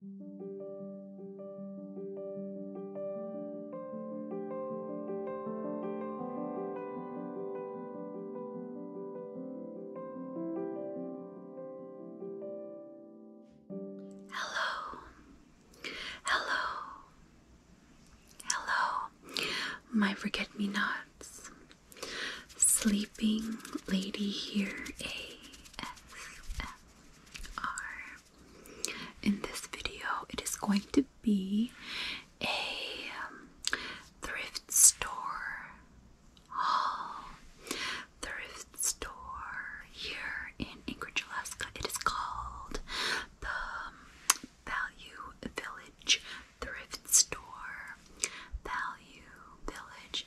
Hello, hello, hello, my forget me nots, sleeping lady here ASMR. In this video, it is going to be a um, thrift store haul. Thrift store here in Anchorage, Alaska. It is called the um, Value Village Thrift Store. Value Village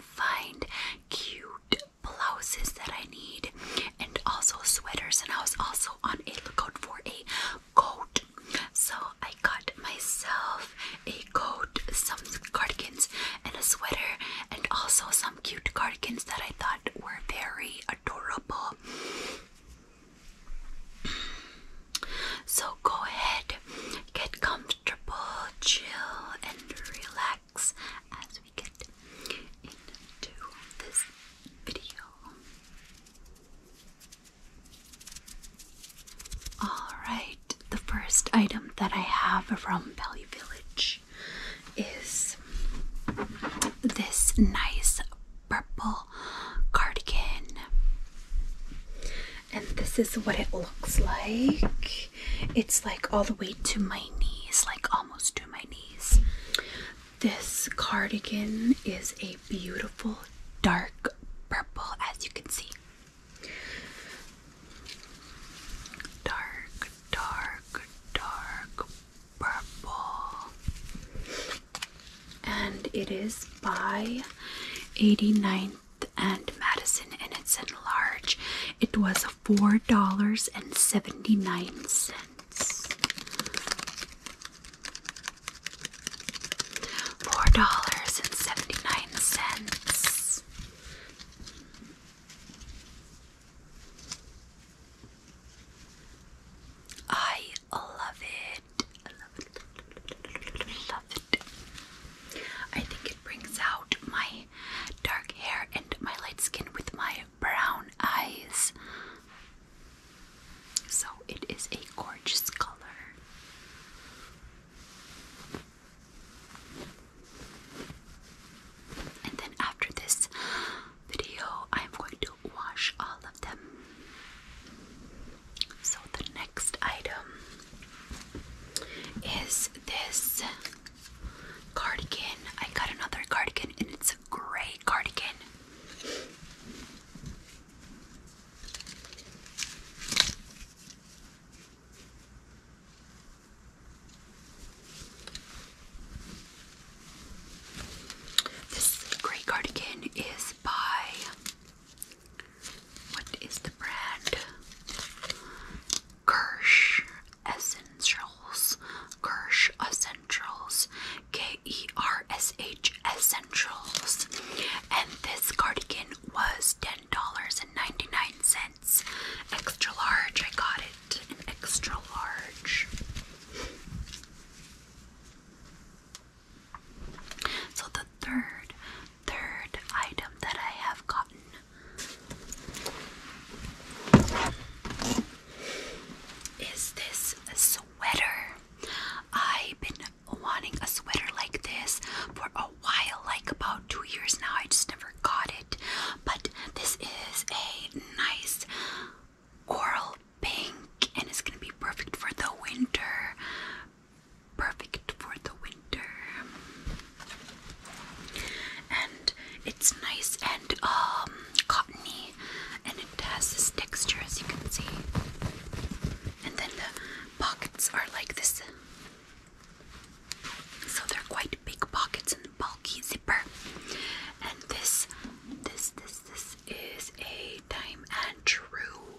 find cute blouses that I need and also sweaters. And I was also on a lookout for a coat. So I got myself a coat, some cardigans, and a sweater, and also some cute cardigans that I thought were very adorable. So go ahead, get comfy. Triple chill, and relax as we get into this video. Alright, the first item that I have from Value Village is this nice purple cardigan and this is what it looks like. It's like all the way to my knees, like almost to my knees. This cardigan is a beautiful dark purple, as you can see. Dark, dark, dark purple. And it is by 89 and Madison and it's in large. It was $4.79. Four dollars and seventy nine cents. I love I love it. I think it brings out my dark hair and my light skin with my brown eyes. So it is a gorgeous color. And then after this video, I'm going to wash all of them. So the next item is this cardigan. I got another cardigan and it's a gray cardigan. This gray cardigan is by what is the brand? Kirsch Essentials. Kirsch Essentials. K E R S H Essentials. And this cardigan was $10.99. Extra large. I got it. An extra large. So the third, third item that I have gotten is this sweater. I've been wanting a sweater like this for a while, like about two years now. I just never got it. But this is a nice coral pink and it's gonna be perfect for the winter. Perfect for the winter. And it's nice and um cottony and it has this texture as you can see. And then the pockets are like this. So they're quite big pockets and bulky zipper. And this this this this is a time and true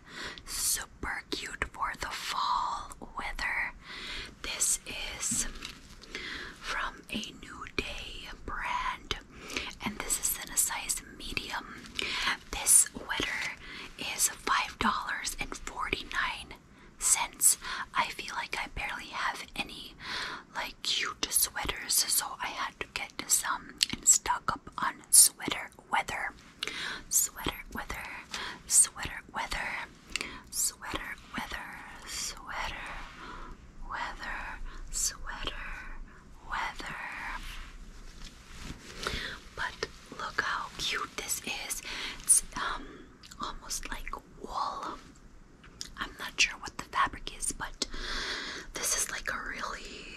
super cute for the fall weather. This is from a New Day brand, and this is in a size medium. This sweater is $5.49. I feel like I barely have any like cute sweaters, so I had to get some and stock up on sweater weather. Sweater weather, sweater weather, sweater weather, sweater weather, sweater weather. But look how cute this is. It's um almost like wool. I'm not sure what the fabric is, but this is like a really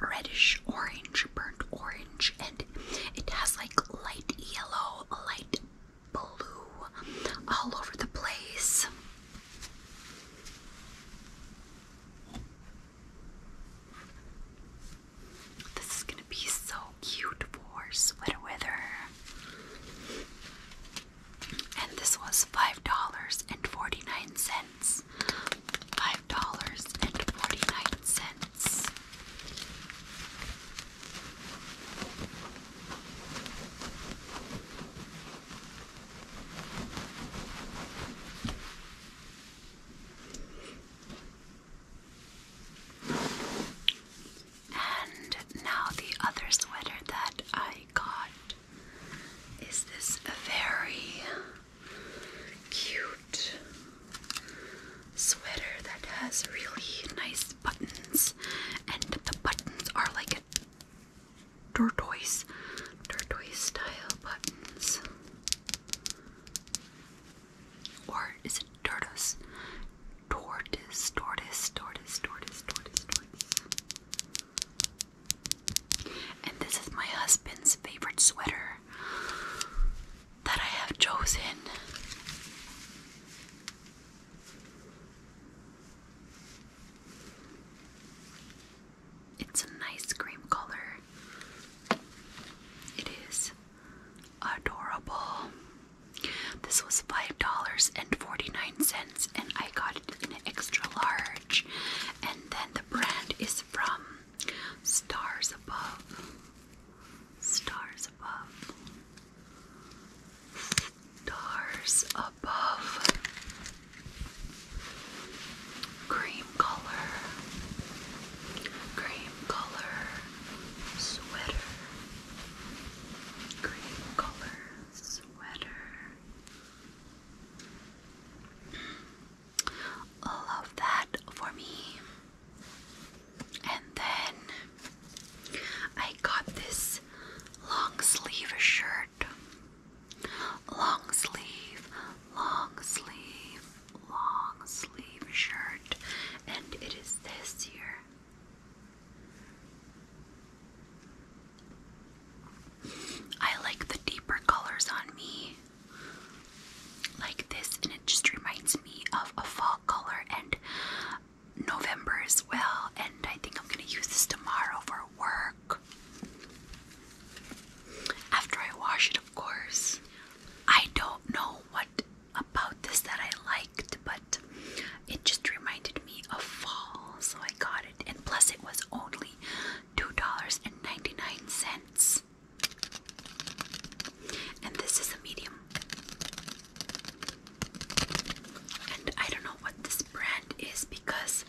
reddish orange, burnt orange, and it has like light yellow, light blue all over the place. This is gonna be so cute for sweater weather. And this was $5.49 five dollars and forty-nine cents. And now the other sweater that I got is this very cute sweater that has really nice buttons, and the buttons are like a turquoise, style buttons. Or is it tortoise? Tortoise, tortoise, tortoise, tortoise, tortoise, tortoise. And this is my husband's favorite sweater that I have chosen. It's a nice cream color. It is adorable. This was $5.49 and I got it in an extra large. And then and the brand is from Stars Above. Stars Above. Stars Above. Cream color. Cream color. Sweater. Cream color. Sweater all of that for me. And then I got this long sleeve shirt. Long sleeve, long sleeve, long sleeve shirt. And it is this year. I like the deeper colors on me, like this, and it just reminds me of a fall color and November as well. And I think I'm gonna use this tomorrow for work after I wash it, of course. I don't know what about this that I liked, but it just reminded me of fall, so I got it. And plus, it was only $2.99. And this is a medium. And I don't know what this brand is because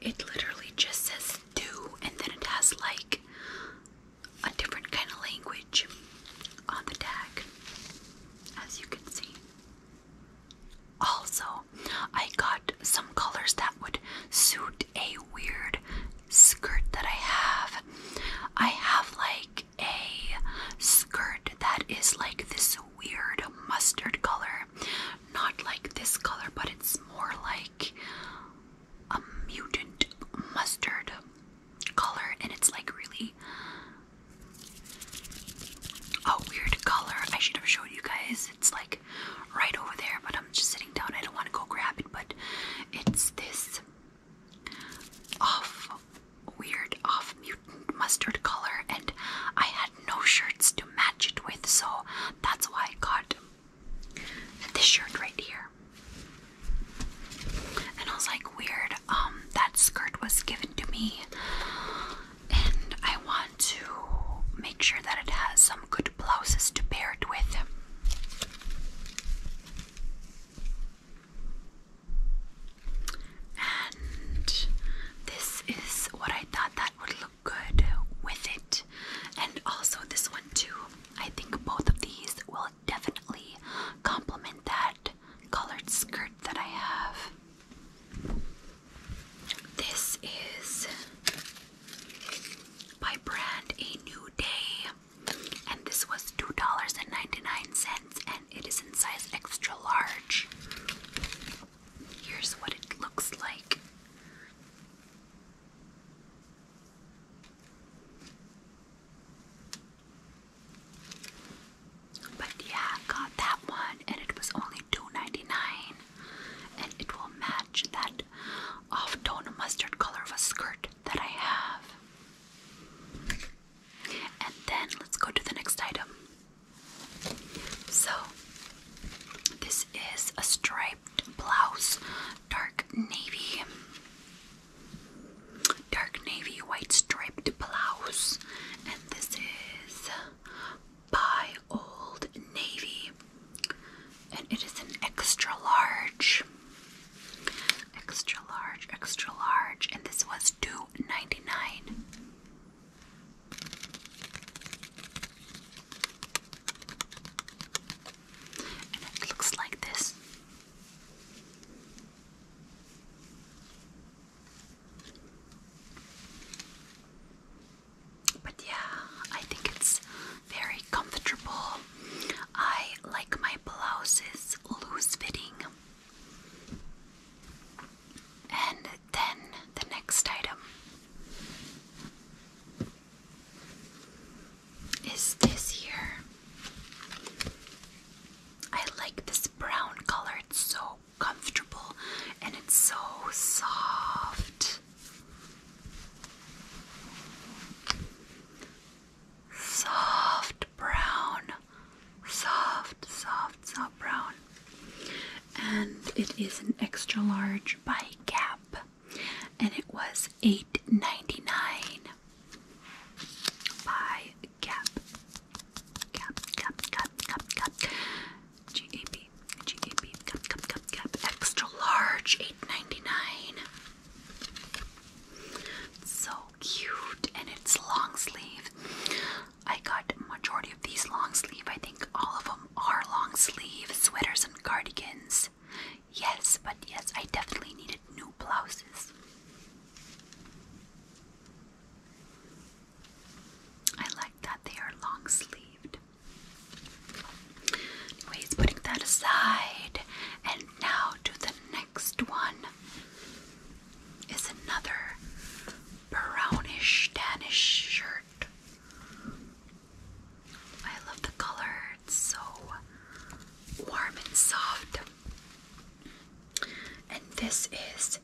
it literally just says do and then it has like a different kind of language on the tag, as you can see. Also, I got some colors that would suit a weird skirt that I have. I have like a skirt that is like this weird mustard color. Not like this color, but it's more like a mutant mustard color and it's like really a oh, weird color. I should have showed you guys. It's like right over there, but I'm just sitting down. I don't want to go grab it, but it's this off weird off mutant mustard color, and I had no shirts to match it with, so that's why I got this shirt right here. And I was like, weird. Um, that skirt was given to me and I want to make sure that it has some good blouses to pair it with. And this is what I thought that would look good with it. And also this one too. I think both of these will definitely complement that colored skirt that I have. This is by brand A New Day, and this was $2.99, and it is in size extra large. Here's what it looks like. But yeah, got that one and it was only 2 and it will match that off-tone mustard color of a skirt that I have. And then let's go to the next item. So this is a striped blouse, dark navy dark navy white striped blouse, and this is by Old Navy, and it is an extra large, extra large, extra large, and this was two ninety nine. And it looks like this. But yeah, I think it's very comfortable. I like my blouses loose fitting. And then the next item is this here. I like this brown color, it's so comfortable and it's so soft. Soft brown, soft, soft, soft brown. And it is an extra large by Gap, and it was eight ninety nine by Gap. Gap, Gap, Gap, Gap, Gap. GAP, GAP, Gap, Gap, Gap, Gap. Extra large, $8.99. So cute, and it's long sleeve. I got majority of these long sleeve. I think all of them are long sleeve sweaters and cardigans. Yes, but yes, I definitely needed new blouses. I like that they are long sleeved. Anyways, putting that aside, and now to the next one is another brownish, Danish shirt. I love the color, it's so warm and soft. And this is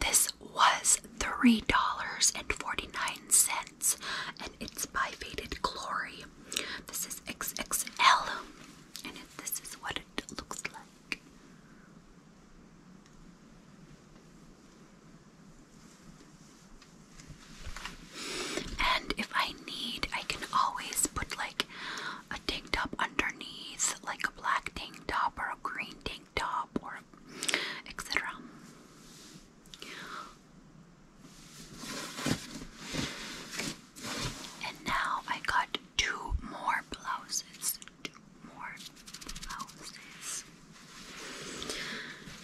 this was three dollars and forty-nine cents, and it's by Faded Glory. This is XXL, and it, this is what it looks like. And if I need, I can always put like a tank top underneath, like a black tank top or a green tank top or etc. And now I got two more blouses. Two more blouses.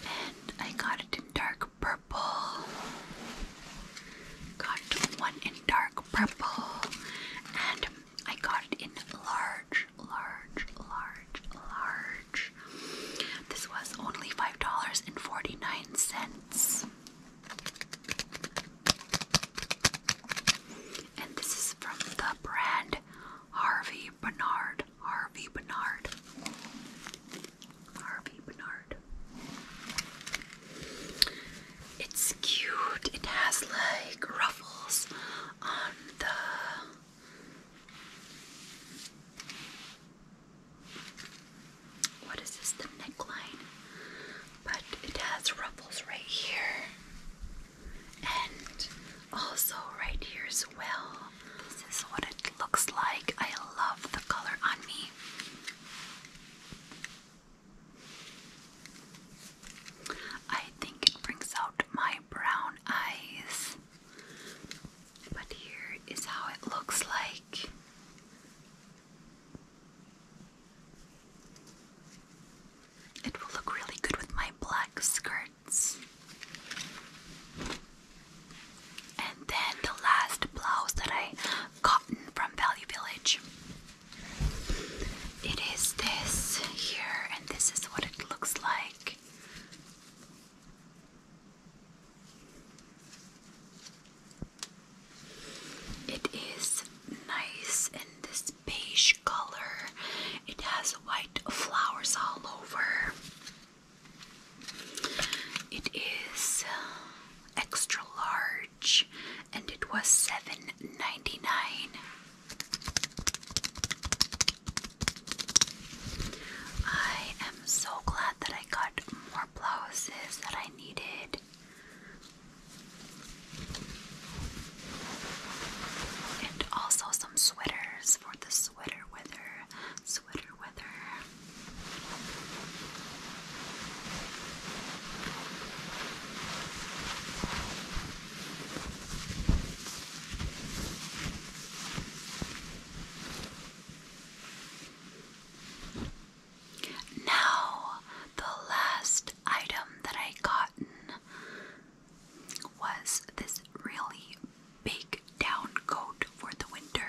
And I got it in dark purple. Got one in dark purple, and I got it in large, large, large, large. This was only $5.49. And this is from the brand Harvey Bernard. Harvey Bernard. Harvey Bernard. It's cute. It has like ruffles on the what is this? The neckline, but it has ruffles right here and also right here as well. This is what it looks like. I love the color on me. I think it brings out my brown eyes. But here is how it looks like. It will look really good with my black skirts. And then the last blouse that I cotton from Value Village. It is this here, and this is what it looks like. It is nice in this beige color. It has white flowers all over. It is uh, extra large and it was $7.99. I am so glad that I got more blouses that I needed. And also some sweaters for the sweater weather sweater weather. Now, the last item that I gotten was this really big down coat for the winter.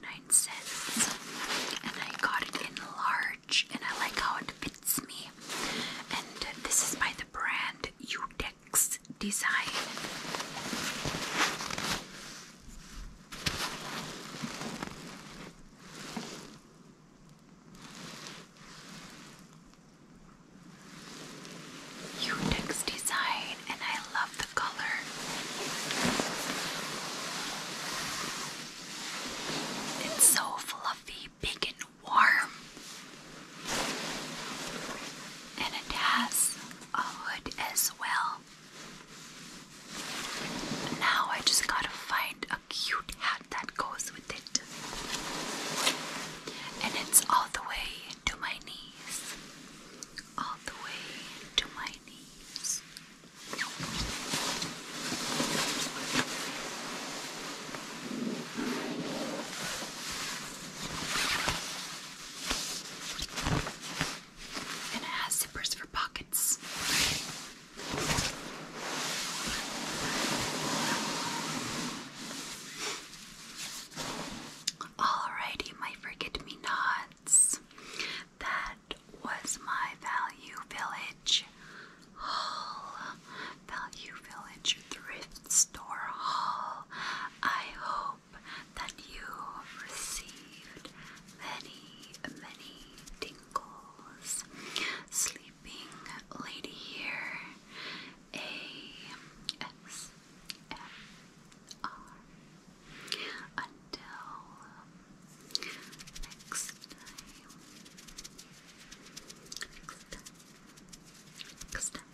Nine cents, and I got it in large, and I like how it fits me. And this is by the brand Utex Design. Utex design, and I love the color. It's so fluffy, big, and warm. And it has a hood as well. Now I just gotta find a cute hat that goes with it. And it's all the way to my knees. All the way to my knees. And it has zippers for pockets. Alrighty, my forget me nots that was my Value Village haul. Value Village thrift store haul. I hope that you received many, many tingles. Sleeping Lady here. A S M R until um, next time. Next time. Next time.